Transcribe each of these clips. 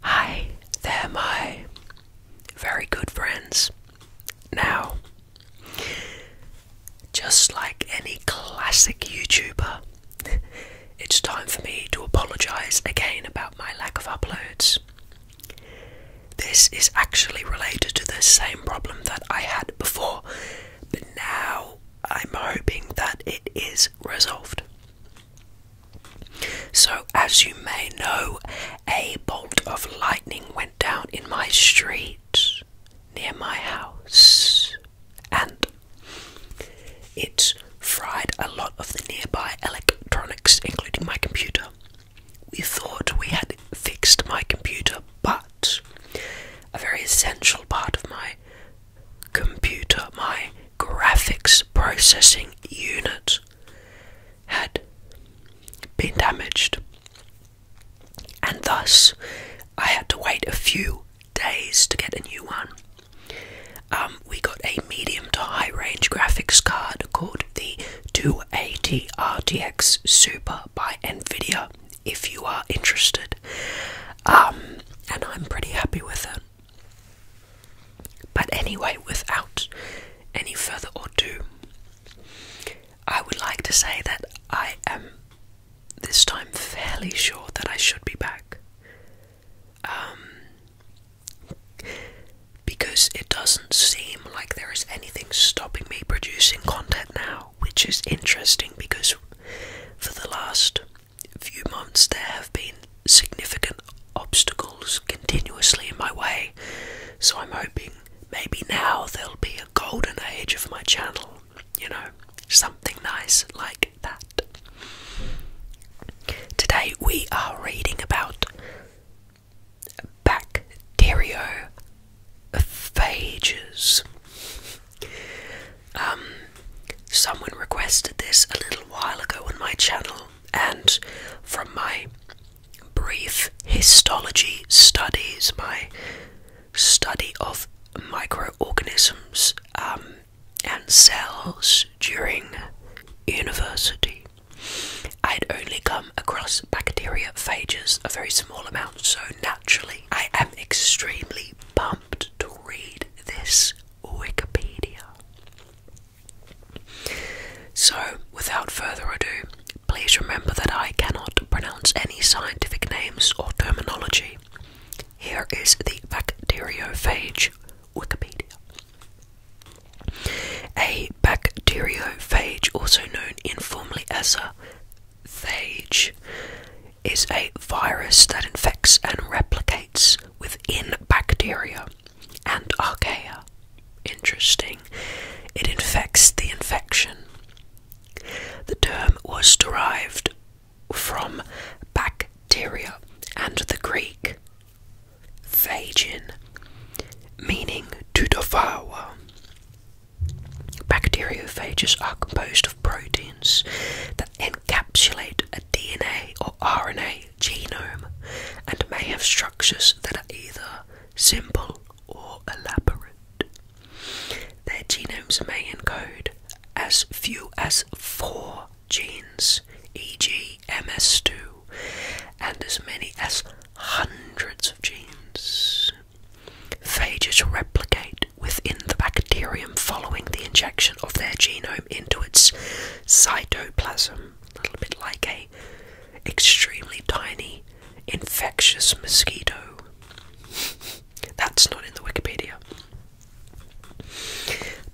Hi, there, my very good friends. Now, just like any classic YouTuber, it's time for me to apologise again about my lack of uploads. This is actually related to the same problem that I had before, but now I'm hoping that it is resolved. So, as you may know, a bolt of lightning went down in my street near my house, and it fried a lot of the nearby electronics, including my computer. We thought we had fixed my computer, but a very essential part of my computer, my graphics processing unit had been damaged, and thus I had to wait a few days to get a new one. Um, we got a medium to high range graphics card called the 280 RTX Super by Nvidia if you are interested. Um, and I'm pretty happy with it. But anyway, without any further ado, I would like to say that I am this time fairly sure that I should be back. Um, because it doesn't seem like there is anything stopping me producing content now, which is interesting because for the last few months there have been significant obstacles continuously in my way, so I'm hoping maybe now there'll be a golden age of my channel, you know, something nice like that. Today we are reading about bacteriophages. Um, someone requested this a little while ago on my channel, and from my brief histology studies, my study of microorganisms um, and cells during university, i had only come across bacteriophages, a very small amount, so naturally, I am extremely pumped to read this Wikipedia. So, without further ado, please remember that I cannot pronounce any scientific names or terminology. Here is the bacteriophage Wikipedia. A bacteriophage, also known informally as a phage, is a virus that infects and replicates within bacteria and archaea. Interesting. It infects the infection. The term was derived from bacteria and the Greek phagin, meaning to devour. Bacteriophages are composed of proteins that encapsulate a DNA or RNA genome and may have structures that are either simple or elaborate. Their genomes may encode as few as four genes, e.g., MS2, and as many as hundreds of genes. Phages replicate within the bacterium following the injection of their genome into its cytoplasm, a little bit like a extremely tiny infectious mosquito. That's not in the Wikipedia.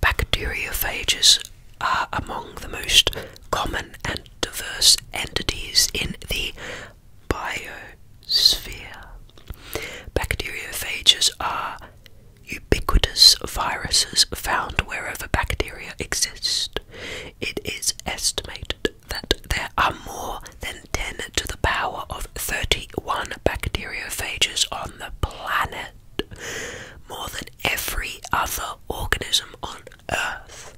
Bacteriophages are among the most common and diverse entities in the biosphere. Bacteriophages are ubiquitous viruses found wherever bacteria exist. It is estimated that there are more than 10 to the power of 31 bacteriophages on the planet, more than every other organism on Earth,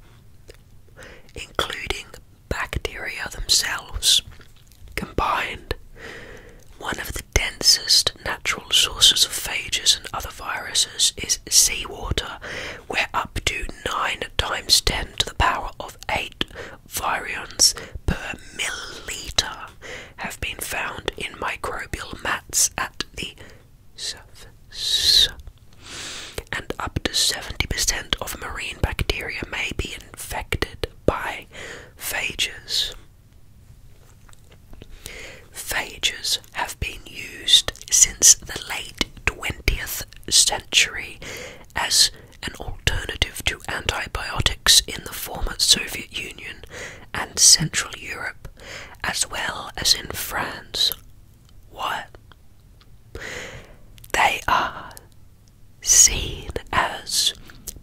including bacteria themselves. Combined, one of densest natural sources of phages and other viruses is seawater, where up to 9 times 10 to the power of 8 virions per milliliter have been found in microbial mats at the surface. And up to 70% of marine bacteria may be infected by phages. Phages have been used since the late 20th century as an alternative to antibiotics in the former Soviet Union and Central Europe, as well as in France. What? They are seen as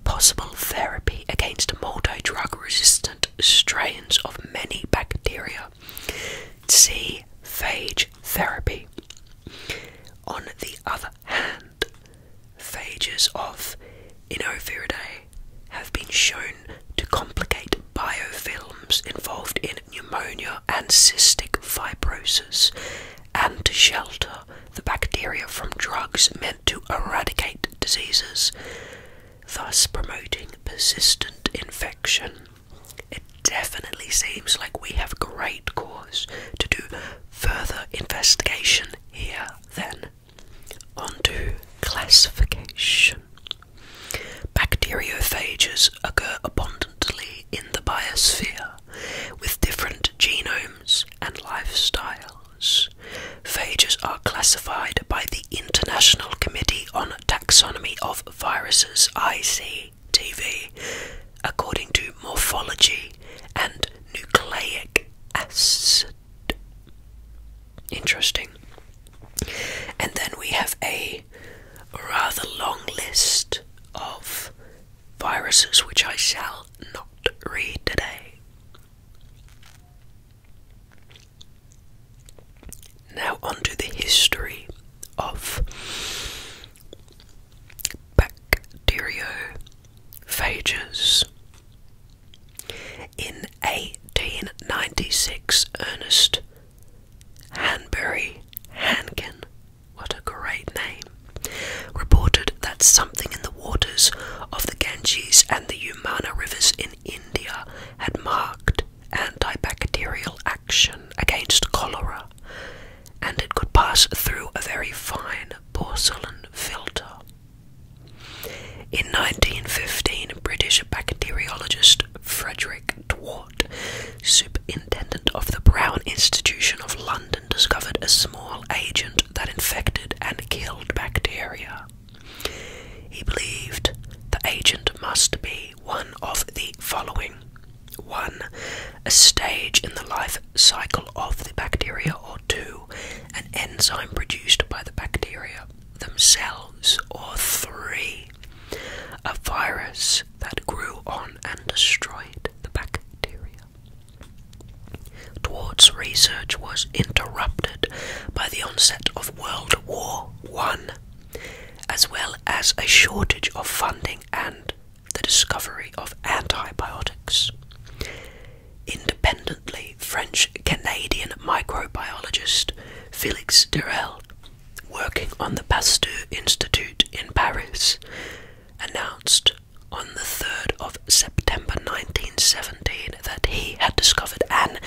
possible therapy against multi drug resistant strains of many bacteria. See phage therapy. On the other hand, phages of Inoviridae have been shown to complicate biofilms involved in pneumonia and cystic fibrosis and to shelter the bacteria from drugs to eradicate diseases, thus promoting persistent infection. It definitely seems like we have great cause to do further investigation here, then. On to classification. Bacteriophages occur abundantly in the biosphere with different genomes and lifestyle. Phages are classified by the International Committee on Taxonomy of Viruses (ICTV) according to morphology and nucleic acid. Interesting. And then we have a rather long list of viruses which I shall not read today. Now, onto the history of phages. In 1896, Ernest Hanbury Hankin, what a great name, reported that something in the waters of the Ganges and the Humana rivers in India had marked antibacterial action against cholera, and it could pass through a very fine porcelain filter. In 1915, British bacteriologist Frederick Dwart, superintendent of the Brown Institution of London, discovered a small agent that infected and killed bacteria. He believed the agent must be one of the following one, a stage in the life cycle of the bacteria, or two, an enzyme produced by the bacteria themselves, or three, a virus that grew on and destroyed the bacteria. Toward's research was interrupted by the onset of World War I, as well as a shortage of funding and the discovery of antibiotics. Independently, French Canadian microbiologist Felix Durrell, working on the Pasteur Institute in Paris, announced on the 3rd of September 1917 that he had discovered an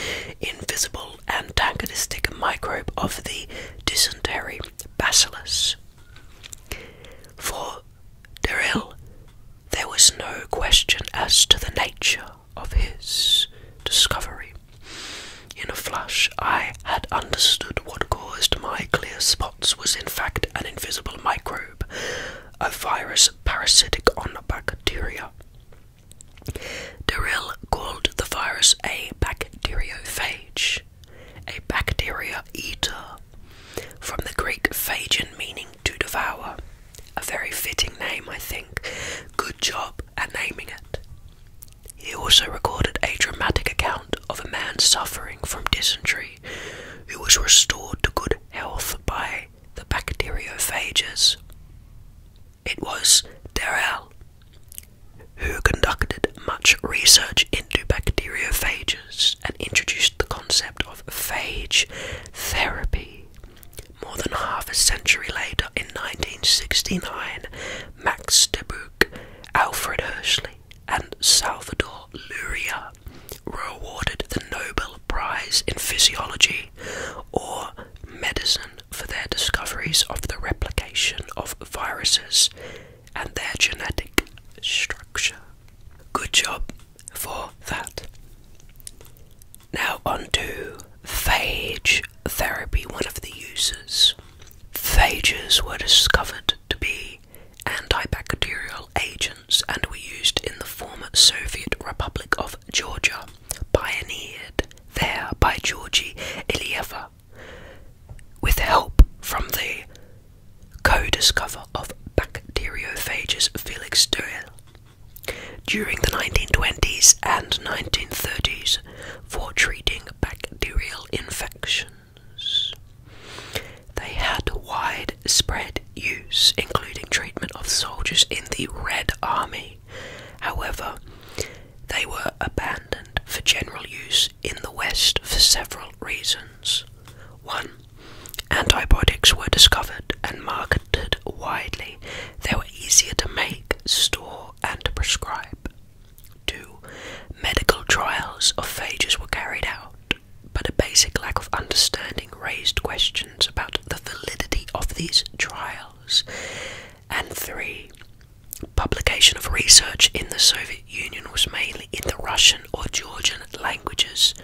invisible antagonistic microbe of the dysentery bacillus. For Derril, there was no question as to the nature of his discovery. In a flash, I had understood what caused my clear spots was in fact an invisible microbe, a virus parasitic on bacteria. Durrell called the virus a bacteriophage, a bacteria eater, from the Greek phagein meaning to devour. A very fitting name, I think. Good job at naming it. He also recorded a dramatic account of a man suffering from dysentery who was restored to good health by the bacteriophages. It was Darrell who conducted much research into bacteriophages and introduced the concept of phage therapy. More than half a century later, in 1969, Max Debuc, Alfred Hershey, and Salvador Luria were awarded the Nobel Prize in Physiology or Medicine for their discoveries of the replication of viruses and their genetic structure. Good job for that. Now, on to phage therapy, one of the uses. Phages were discovered to be antibacterial agents and were used in the former Soviet Republic of Georgia pioneered there by Georgi Ilyeva with help from the co-discover of bacteriophages Felix Duel during the 1920s and 1930s for treating bacterial infections. They had widespread use, including treatment of soldiers in the Red Army. However, they were abandoned for general use in the West for several reasons. One, antibiotics were discovered and marketed widely, they were easier to make, store, and prescribe. Two, medical trials of phages were carried out, but a basic lack of understanding raised questions about the validity of these trials. And three, publication of research in the Soviet Union was mainly in the Russian or Georgian languages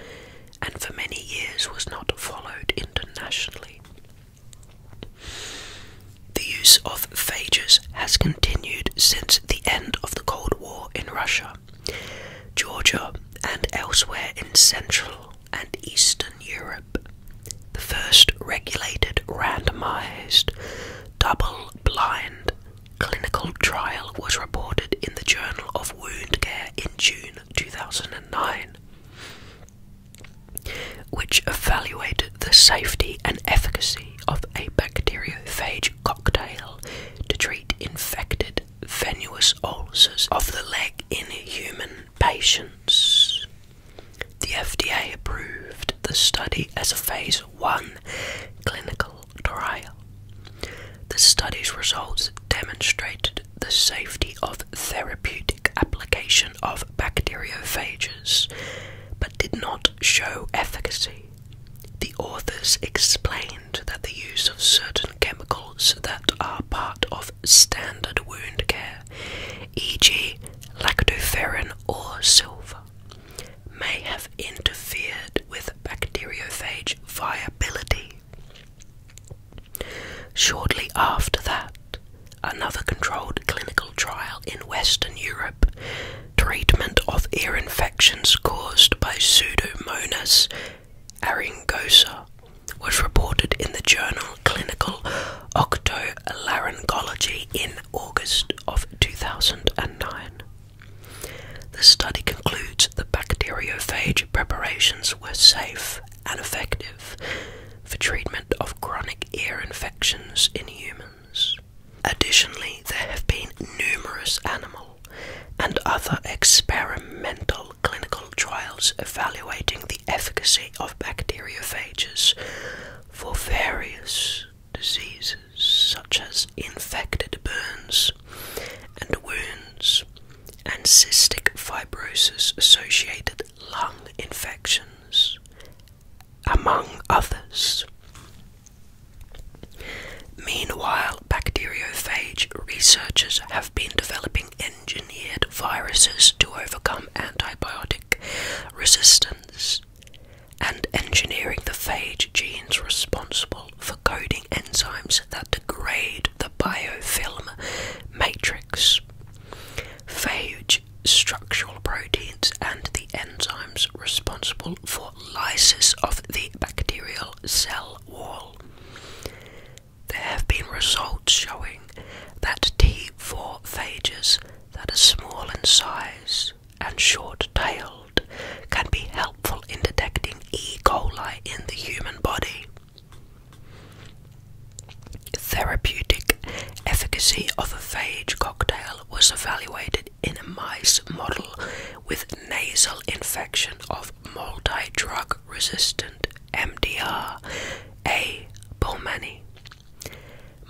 and for many years was not followed internationally. The use of phages has continued since the end of the Cold War in Russia, Georgia, and elsewhere in Central and Eastern Europe, the first regulated randomized double-blind clinical trial was reported in the Journal of Wound Care in June 2009, which evaluated the safety and efficacy of a bacteriophage cocktail to treat infected venous ulcers of the leg in human patients. The FDA approved the study as a phase 1 clinical trial. The study's results demonstrated the safety of therapeutic application of bacteriophages but did not show efficacy. The authors explained that the use of certain chemicals that are part of standard wound care e.g., lactoferrin or silver, may have interfered with bacteriophage viability. Shortly after that, another controlled clinical trial in Western Europe, treatment of ear infections caused by Pseudomonas aeruginosa was reported in the journal Clinical Octolaryngology in August of 2009. The study concludes that bacteriophage preparations were safe and effective for treatment of chronic ear infections in humans. Additionally, there have been numerous animal and other experimental clinical trials evaluating the efficacy of bacteriophages for various diseases such as infected burns and wounds and cystic fibrosis associated lung infections, among others. Meanwhile, bacteriophage researchers have been developing engineered viruses to overcome antibiotic resistance and engineering the phage genes responsible for coding enzymes that degrade the biofilm matrix. Phage structural proteins and the enzymes responsible for lysis of the bacterial cell wall. There have been results showing that T4 phages that are small in size and short tailed can be helpful in detecting E. coli in the human body. Therapeutic efficacy of a phage cocktail was evaluated in a mice model with nasal infection of multi drug resistant MDR A. Bulmani.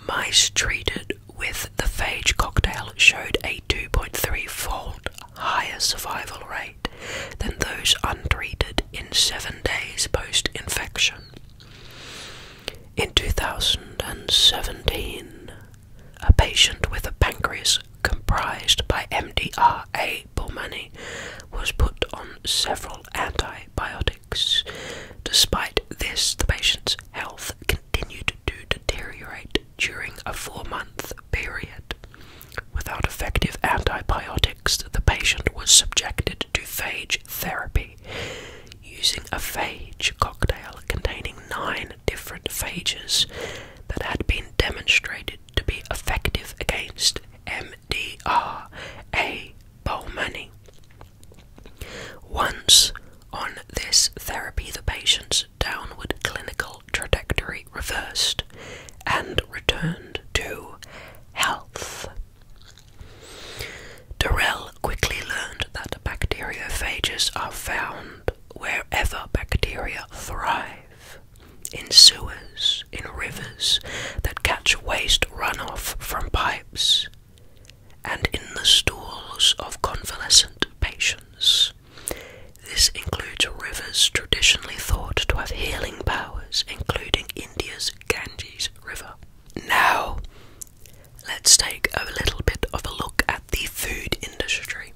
Mice treated with the phage cocktail showed a 2.3 fold higher survival rate than those untreated in seven days post infection. In 2017, a patient with a pancreas comprised by MDR A. Ray Bomani was put on several antibiotics. Despite this, the patient's health continued to deteriorate during a four month period. Without effective antibiotics, the patient was subjected to phage therapy using a phage cocktail containing nine different phages that had been demonstrated to be effective against M. MDRA bowl Once on this therapy, the patient's downward clinical trajectory reversed and returned to health. Darrell quickly learned that bacteriophages are found wherever bacteria thrive in sewers in rivers that catch waste runoff from pipes, and in the stools of convalescent patients. This includes rivers traditionally thought to have healing powers, including India's Ganges River. Now, let's take a little bit of a look at the food industry.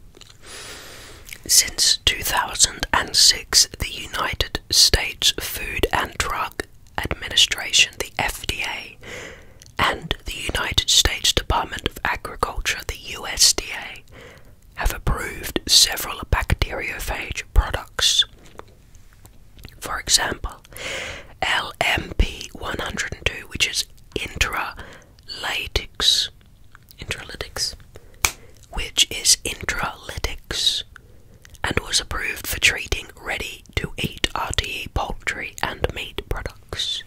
Since 2006, the United States Food and Drug Administration, the FDA, and the United States Department of Agriculture, the USDA, have approved several bacteriophage products. For example, LMP102, which is intralytics, intralytics, which is intralytics, and was approved for treating ready to eat RTE poultry and meat products.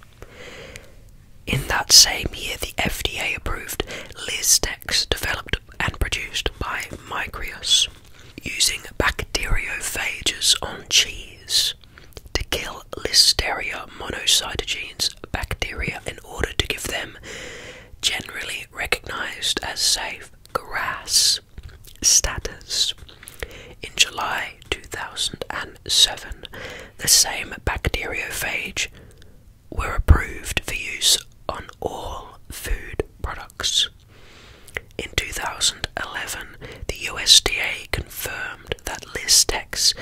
In that same year, the FDA approved Liztex, developed and produced by Micreus, using bacteriophages on cheese to kill Listeria monocytogenes bacteria in order to give them, generally recognized as safe, grass status. In July 2007, the same bacteriophage were approved for use on all food products. In 2011, the USDA confirmed that Listex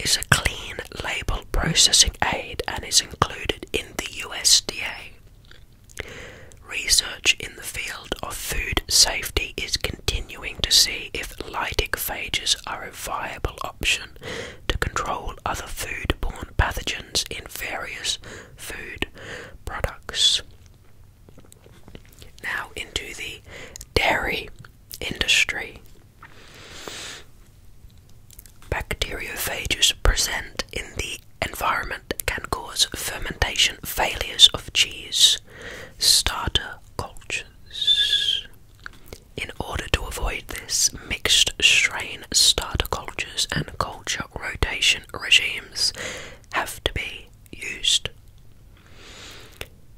is a clean label processing aid and is included in the USDA. Research in the field of food safety is continuing to see if lytic phages are a viable option to control other food-borne pathogens in various food products. Now, into the dairy industry. Bacteriophages present in the environment can cause fermentation failures of cheese starter cultures. In order to avoid this, mixed strain starter cultures and culture rotation regimes have to be used.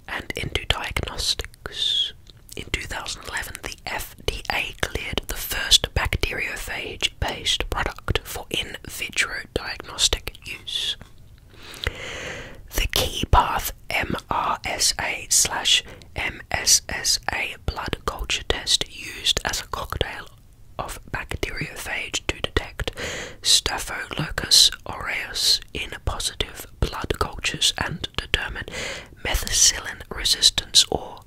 And into diagnostics. In 2011, the FDA cleared the first bacteriophage based product for in vitro diagnostic use. The key path MRSA slash MSSA blood culture test used as a cocktail of bacteriophage to detect Staphylococcus aureus in positive blood cultures and determine methicillin resistance or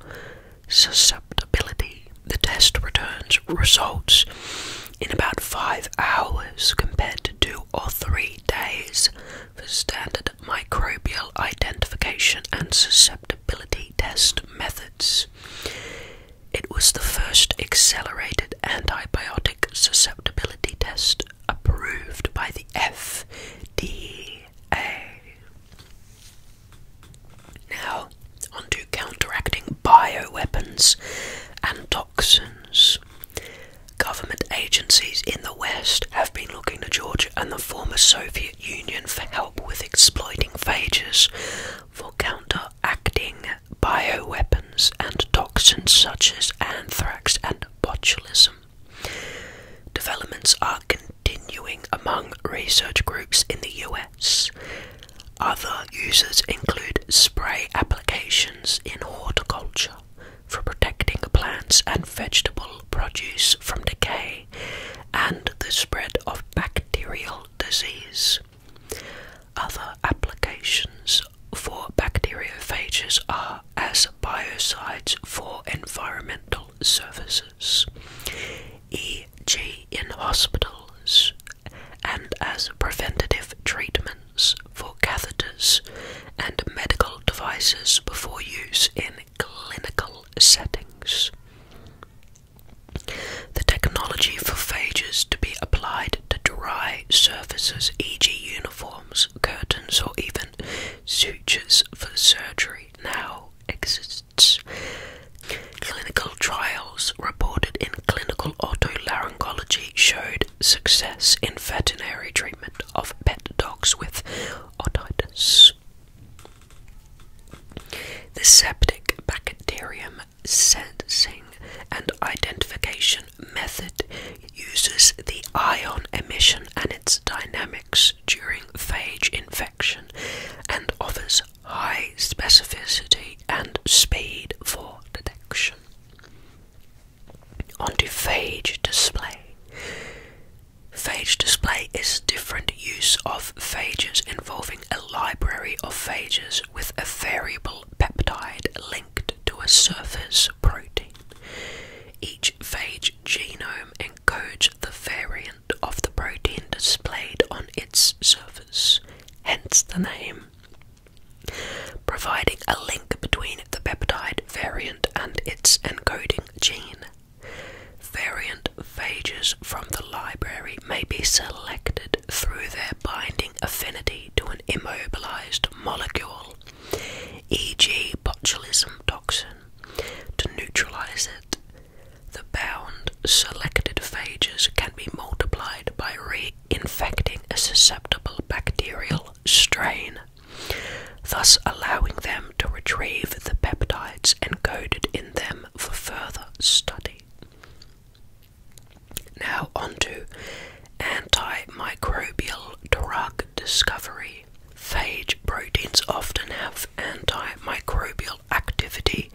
susceptibility. The test returns results in about five hours compared to two or three days for standard microbial identification and susceptibility test methods. It was the first accelerated antibiotic susceptibility test approved by the FDA. Now, onto counteracting bio weapons and toxins. Government agencies in the West have been looking to Georgia and the former Soviet Union for help with exploiting phages for counteracting bio weapons and toxins such as anthrax and botulism. Developments are continuing among research groups in the U.S. Other uses include spray applications in horticulture for protecting plants and vegetable produce from decay and the spread of bacterial disease. Other applications for bacteriophages are as biocides for environmental services, e.g., in hospitals and as preventative treatments for catheters and medical devices before use in clinical settings. The technology for phages to be applied to dry surfaces, e.g., uniforms, curtains, or even sutures for surgery, now exists. Clinical trials reported in clinical otolaryngology showed success in veterinary treatment of pet dogs with otitis. The septic bacterium sensing and identification method uses the ion emission and its dynamics during phage infection and offers high specificity and speed for detection. On phage display. Phage display is different use of phages involving a library of phages with a variable peptide linked to a surface protein. Each phage genome encodes the variant of the protein displayed on its surface hence the name, providing a link between the peptide variant and its encoding gene. Variant phages from the library may be selected through their binding affinity to an immobilized molecule, e.g., botulism toxin, to neutralize it. The bound selected phages can be multiplied by re-infecting a susceptible bacterial strain, thus allowing them to retrieve the peptides encoded in them for further study. Now on to antimicrobial drug discovery. Phage proteins often have antimicrobial activity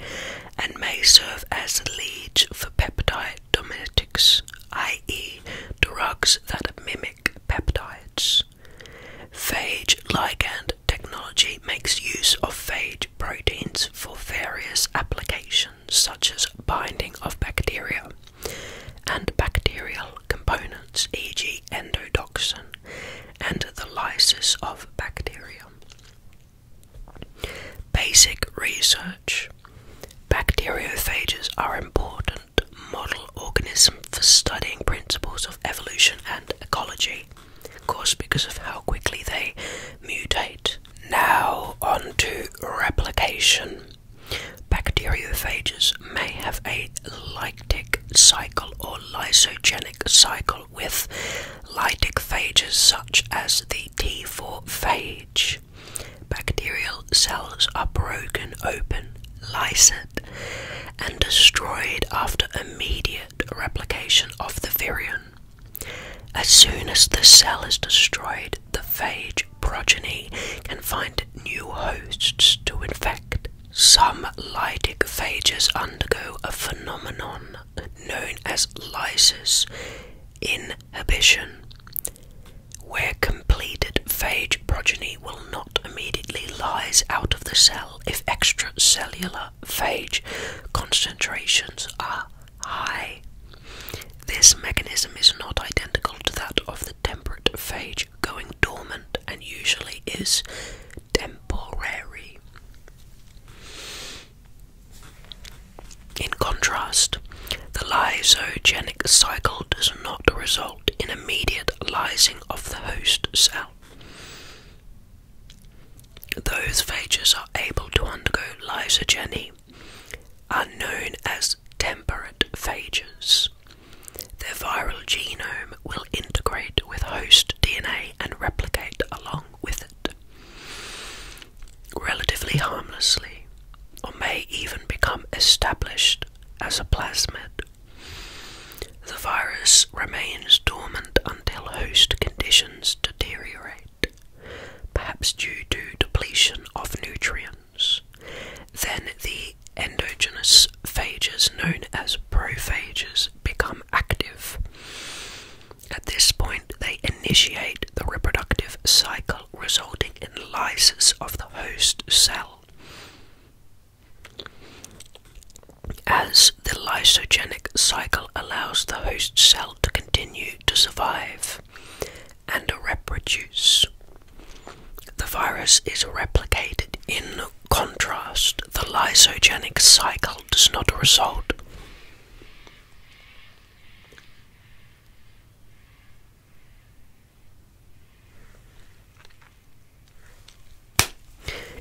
and may serve as leads for peptide domestics, i.e., drugs that mimic peptides. Phage ligand technology makes use of phage proteins for various applications, such as binding of bacteria and bacterial components, e.g., endotoxin, and the lysis of bacteria. Basic research. Bacteriophages are important model organisms for studying principles of evolution and ecology, of course because of how quickly they mutate. Now on to replication. Bacteriophages may have a lytic cycle or lysogenic cycle with lytic phages such as the T4 phage. Bacterial cells are broken open, lysed, and destroyed after immediate replication of the virion. As soon as the cell is destroyed, the phage progeny can find new hosts to infect. Some lytic phages undergo a phenomenon known as lysis, Inhibition. Where completed phage progeny will not immediately rise out of the cell if extracellular phage concentrations are high. This mechanism is not identical to that of the temperate phage going dormant and usually is temporary. In contrast, the lysogenic cycle does not result in immediate lysing of the host cell. Those phages are able to undergo lysogeny are known as temperate phages. Their viral genome will integrate with host DNA and replicate along with it, relatively harmlessly, or may even become established as a plasmid. The virus remains dormant until host conditions deteriorate, perhaps due to depletion of nutrients. Then the endogenous phages, known as prophages, become active. At this point, they initiate the reproductive cycle, resulting in lysis of the host cell. As the lysogenic cycle allows the host cell to continue to survive and reproduce, the virus is replicated. In contrast, the lysogenic cycle does not result.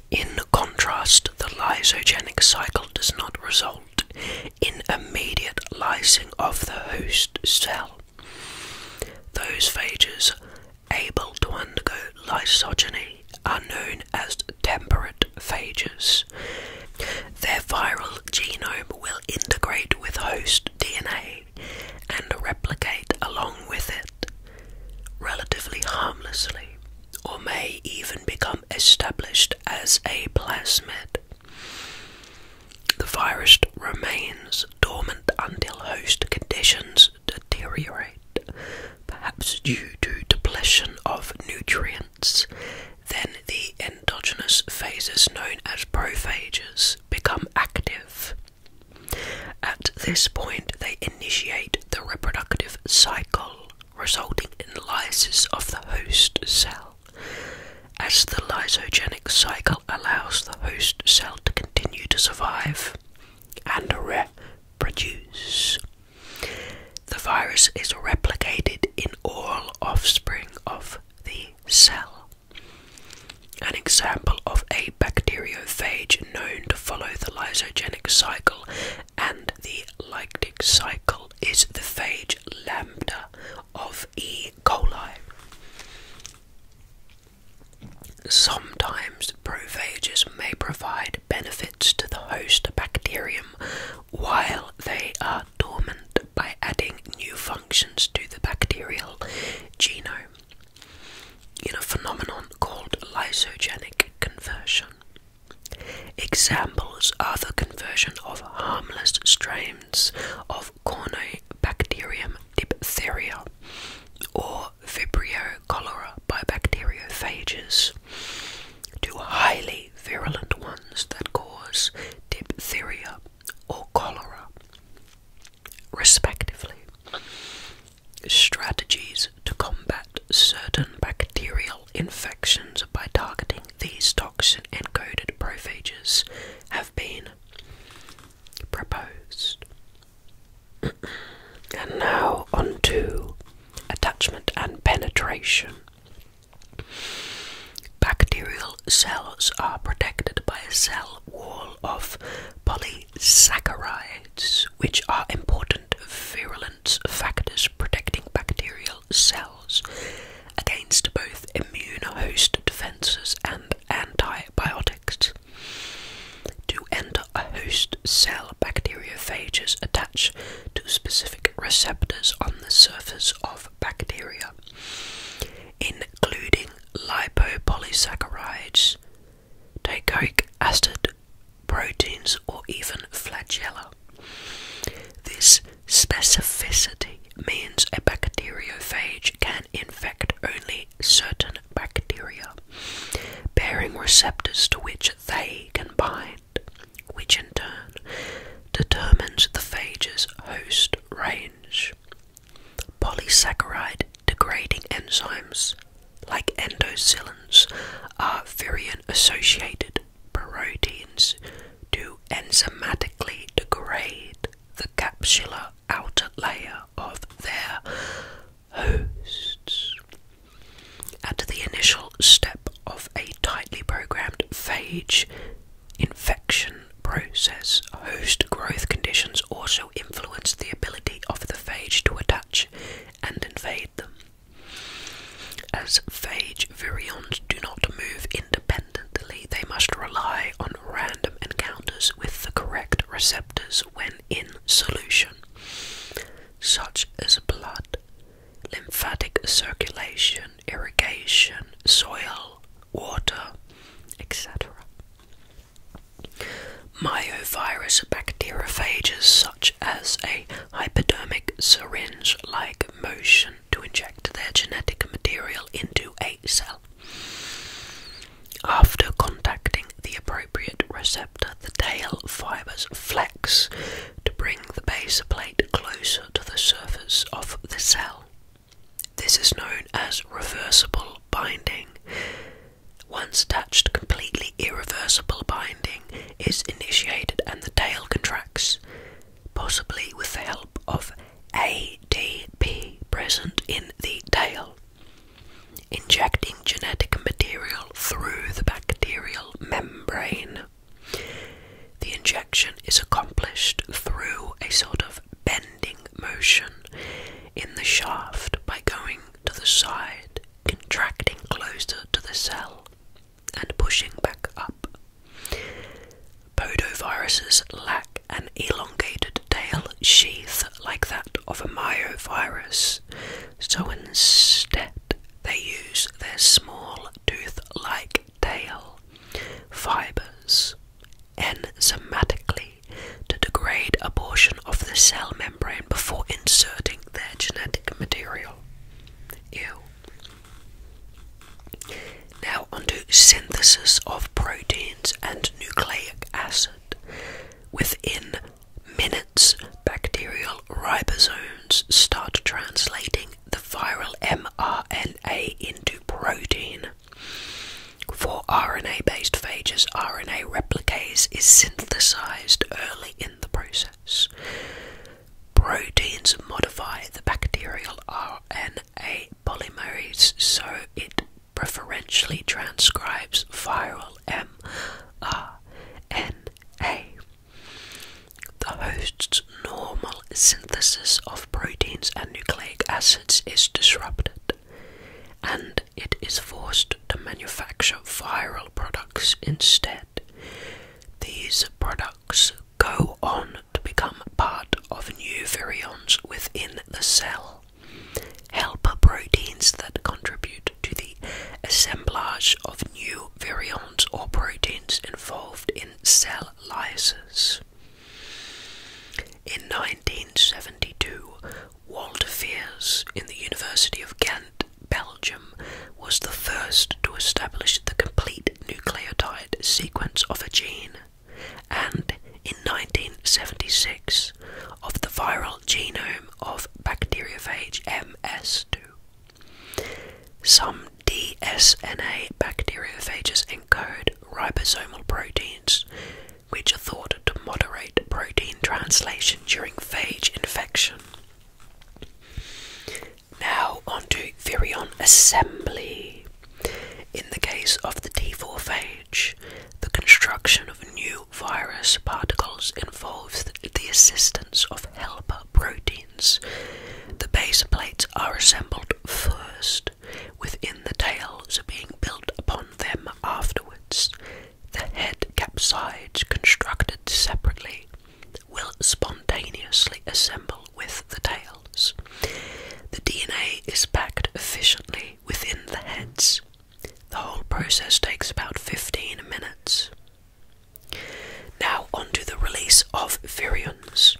In contrast, the lysogenic cycle does not result in immediate lysing of the host cell. Those phages able to undergo lysogeny are known as temperate phages. Their viral genome will integrate with host DNA and replicate along with it, relatively harmlessly, or may even become established as a plasmid. The virus remains dormant until host conditions deteriorate, perhaps due to depletion of nutrients then the endogenous phases known as prophages become active. At this point, they initiate the reproductive cycle, resulting in lysis of the host cell. As the lysogenic cycle allows the host cell to continue to survive and reproduce, the virus is replicated in all offspring of the cell. An example of a bacteriophage known to follow the lysogenic cycle and the lytic cycle is the phage lambda of E. coli. Sometimes prophages may provide benefits to the host bacterium while they are dormant by adding new functions to the bacterial genome in a phenomenon called lysogenic conversion. Examples are the conversion of harmless strains of Cornobacterium diphtheria or Vibrio cholera by bacteriophages to highly virulent ones that cause diphtheria or cholera, respectively. Strategies to combat certain bacterial infections by targeting these toxin encoded prophages have been proposed. and now on to attachment and penetration. Bacterial cells are protected by a cell wall of polysaccharides, which are important virulence factors protecting bacterial cells against both immune host defenses and antibiotics. To enter a host cell, bacteriophages attach to specific receptors on the surface of bacteria, including lipopolysaccharides, teichoic acid, proteins, or even flagella. This specificity means a bacteriophage can infect only certain bacteria, bearing receptors to which they can bind which in turn determines the phage's host range. Polysaccharide degrading enzymes like endocylins are virion associated proteins to enzymatically degrade the capsular outer layer of their hosts. At the initial step of a tightly programmed phage, infection process, host growth conditions also influence the ability of the phage to attach and invade them. As phage virions do not move independently, they must rely on random encounters with the correct receptors when in solution, such as blood, lymphatic circulation, irrigation, soil, water, etc. Myovirus bacteriophages, such as a hypodermic syringe like motion to inject their genetic material into a cell. After contacting the appropriate receptor, the tail fibers flex to bring the base plate closer to the surface of the cell. This is known as reversible binding. Once attached, completely irreversible binding is initiated and the tail contracts, possibly with the help of ADP present in the tail. Injecting genetic material through the bacterial membrane. The injection is accomplished through a sort of bending motion in the shaft by going to the side, contracting closer to the cell, and pushing back up. Podoviruses lack an elongated tail sheath like that of a myovirus, so instead they use their small tooth like tail fibers enzymatically to degrade a portion of the cell membrane before inserting their genetic material. Now onto synthesis of proteins and nucleic acid. Within minutes, bacterial ribosomes start translating the viral mRNA into protein. For RNA based phages, RNA replicase is synthesized early in the process. Proteins modify the bacterial RNA polymerase so it preferentially transcribes viral mRNA. The host's normal synthesis of proteins and nucleic acids is disrupted, and it is forced to manufacture viral products instead. These products go on to become part of new virions within the cell, helper proteins that contribute to the assemblage of new virions or proteins involved in cell lysis. In 1972, Walter Fiers in the University of Ghent, Belgium, was the first to establish the complete nucleotide sequence of a gene, and in 1976, of the viral genome of bacteriophage MS2. Some dsna bacteriophages encode ribosomal proteins which are thought to moderate protein translation during phage infection now onto virion assembly in the case of the t4 phage the construction of new virus particles involves the assistance of helper proteins the base plates are assembled first within the tails are being built upon them afterwards. The head capsides constructed separately will spontaneously assemble with the tails. The DNA is packed efficiently within the heads. The whole process takes about 15 minutes. Now, onto the release of virions.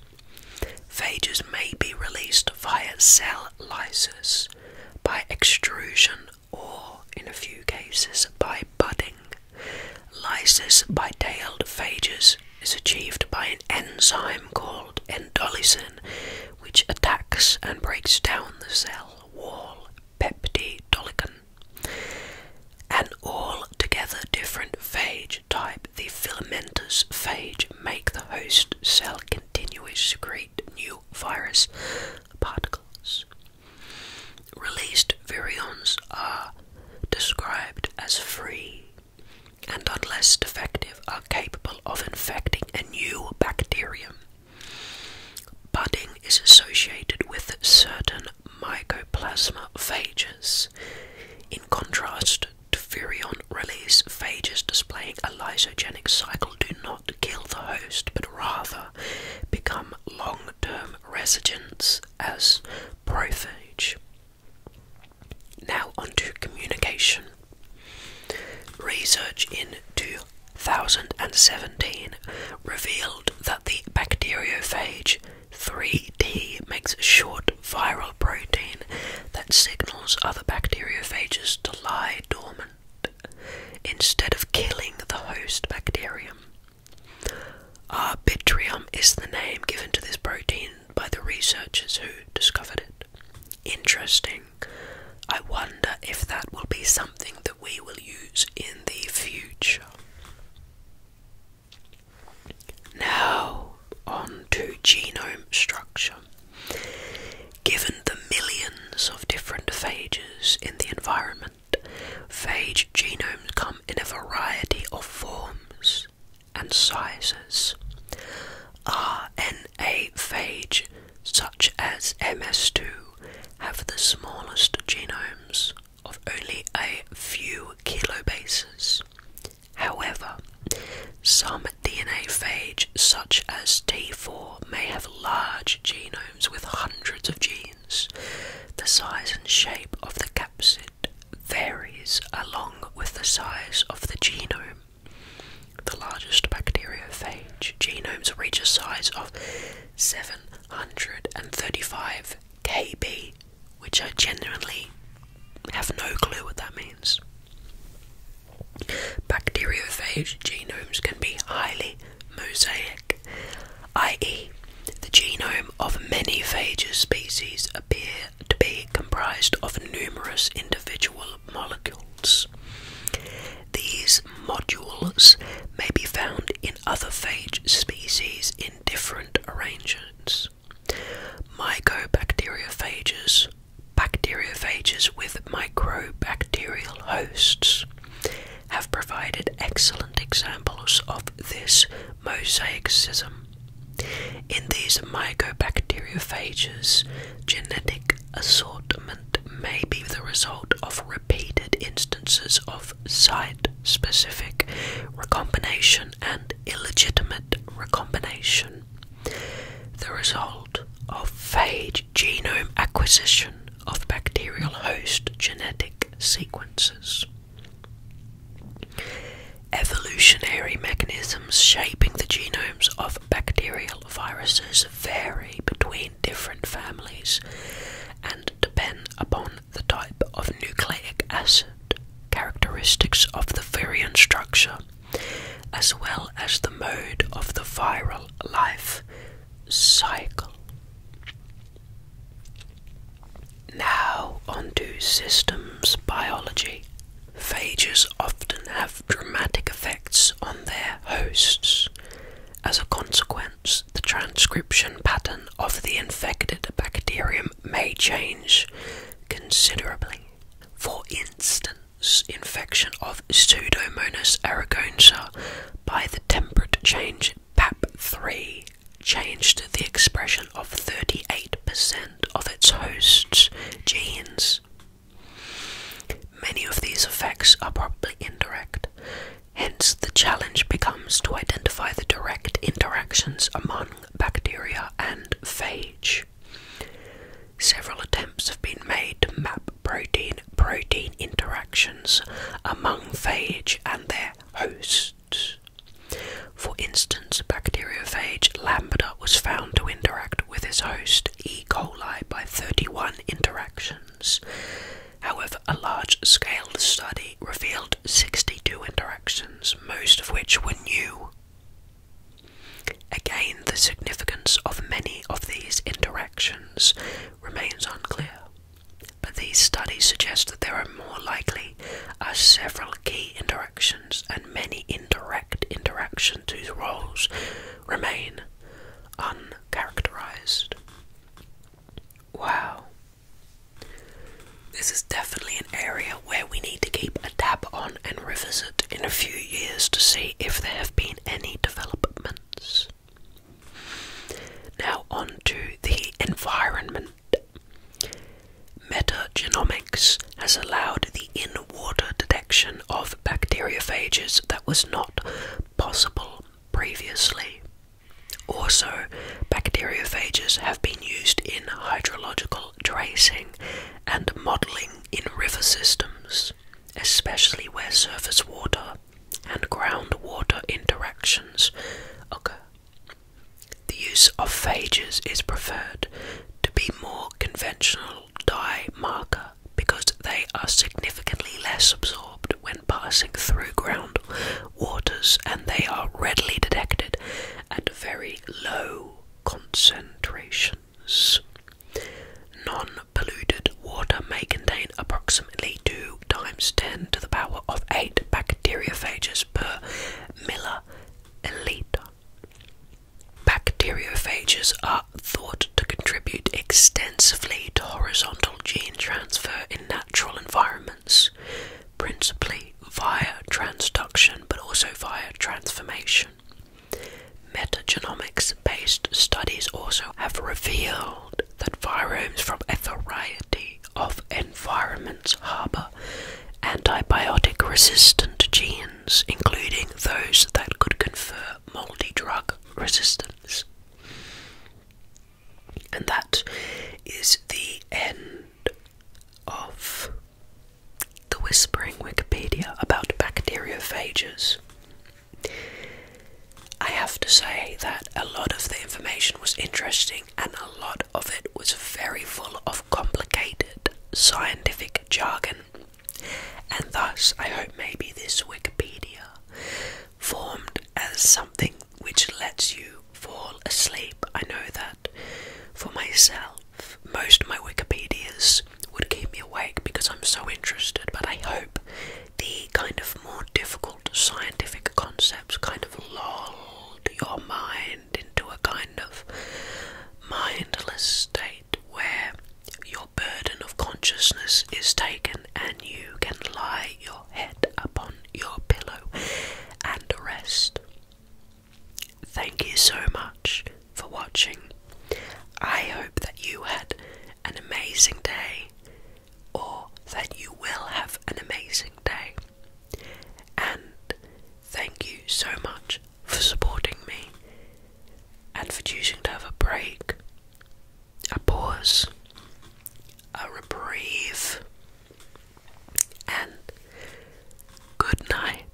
Phages may be released via cell lysis, by extrusion, or, in a few cases, by budding. Lysis by tailed phages is achieved by an enzyme called endolysin, which attacks and breaks down the cell wall peptidolican. An altogether different phage type the filamentous phage make the host cell continuously secrete new virus particles. Released virions are described as free and, unless defective, are capable of infecting a new bacterium. Budding is associated with certain mycoplasma phages, in contrast Tufurion release phages displaying a lysogenic cycle do not kill the host, but rather become long-term residents as prophage. Now onto communication. Research in 2017 revealed that the bacteriophage 3 T makes a short viral protein that signals other bacteriophages to lie dormant instead of killing the host bacterium. Arbitrium is the name given to this protein by the researchers who discovered it. Interesting. I wonder if that will be something that we will use in the future. Now, on to genome structure. Given the millions of different phages in the environment, phage genomes come in a variety of forms and sizes. RNA phage, such as MS2, have the smallest genomes of only a few kilobases. However, some DNA phage, such as T4, may have large genomes with hundreds of genes. The size and shape of the capsid varies along with the size of the genome. The largest bacteriophage genomes reach a size of 735 kb, which I genuinely have no clue what that means. Bacteriophage genomes can be highly mosaic, i.e., the genome of many phage species appear to be comprised of numerous individual molecules. These modules may be found in other phage species in different arrangements. Mycobacteriophages, bacteriophages with microbacterial hosts, have provided excellent examples of this mosaicism. In these mycobacteriophages, genetic assortment may be the result of repeated instances of site specific recombination and illegitimate recombination the result of phage genome acquisition of bacterial host genetic sequences. Evolutionary mechanisms shaping the genomes of bacterial viruses vary between different families and depend upon the type of nucleic acid, characteristics of the virion structure, as well as the mode of the viral life cycle. Now, onto systems biology. Phages often have dramatic effects on their hosts. As a consequence, the transcription pattern of the infected bacterium may change considerably. For instance, infection of Pseudomonas aeruginosa by the temperate change PAP3 changed the expression of 38% of its host's genes. Many of these effects are probably indirect, hence, the challenge becomes to identify the direct interactions among bacteria and phage. Several attempts have been made to map protein protein interactions among phage and their hosts. For instance, bacteriophage lambda was found to interact with its host E. coli by 31 interactions. However, a large scale study revealed 62 interactions, most of which were new. Again, the significance of many of these interactions remains unclear, but these studies suggest that there are more likely are several key interactions and many indirect interactions whose roles remain uncharacterized. Wow. This is definitely an area where we need to keep a tab on and revisit in a few years to see if there have been any developments. Now, on to the environment. Metagenomics has allowed the in water detection of bacteriophages that was not possible previously. Also, bacteriophages have been used in hydrological tracing and modelling in river systems, especially where surface water and groundwater interactions occur. The use of phages is preferred to be more conventional dye marker because they are significantly less absorbed when passing through ground waters and they are readily detected at very low concentration. Non polluted water may contain approximately 2 times 10 to the power of 8 bacteriophages per milliliter. Bacteriophages are thought to contribute extensively to horizontal gene transfer in natural environments, principally via transduction but also via transformation. Metagenomics-based studies also have revealed that viromes from a variety of environments harbour antibiotic-resistant genes, including those that could confer multi-drug resistance. And that is the end of the Whispering Wikipedia about bacteriophages. I have to say that a lot of the information was interesting and a lot of it was very full of complicated scientific jargon, and thus I hope maybe this Wikipedia formed as something which lets you fall asleep. I know that for myself. Most of my Wikipedias would keep me awake because I'm so interested, but I hope the kind of more difficult scientific concepts kind of lulled your mind into a kind of mindless state where your burden of consciousness is taken and you can lie your head upon your pillow and rest. Thank you so much for watching. I hope that you had an amazing day, or that you will have an amazing day. And thank you so much for supporting me and for choosing to have a break, a pause, a reprieve, and good night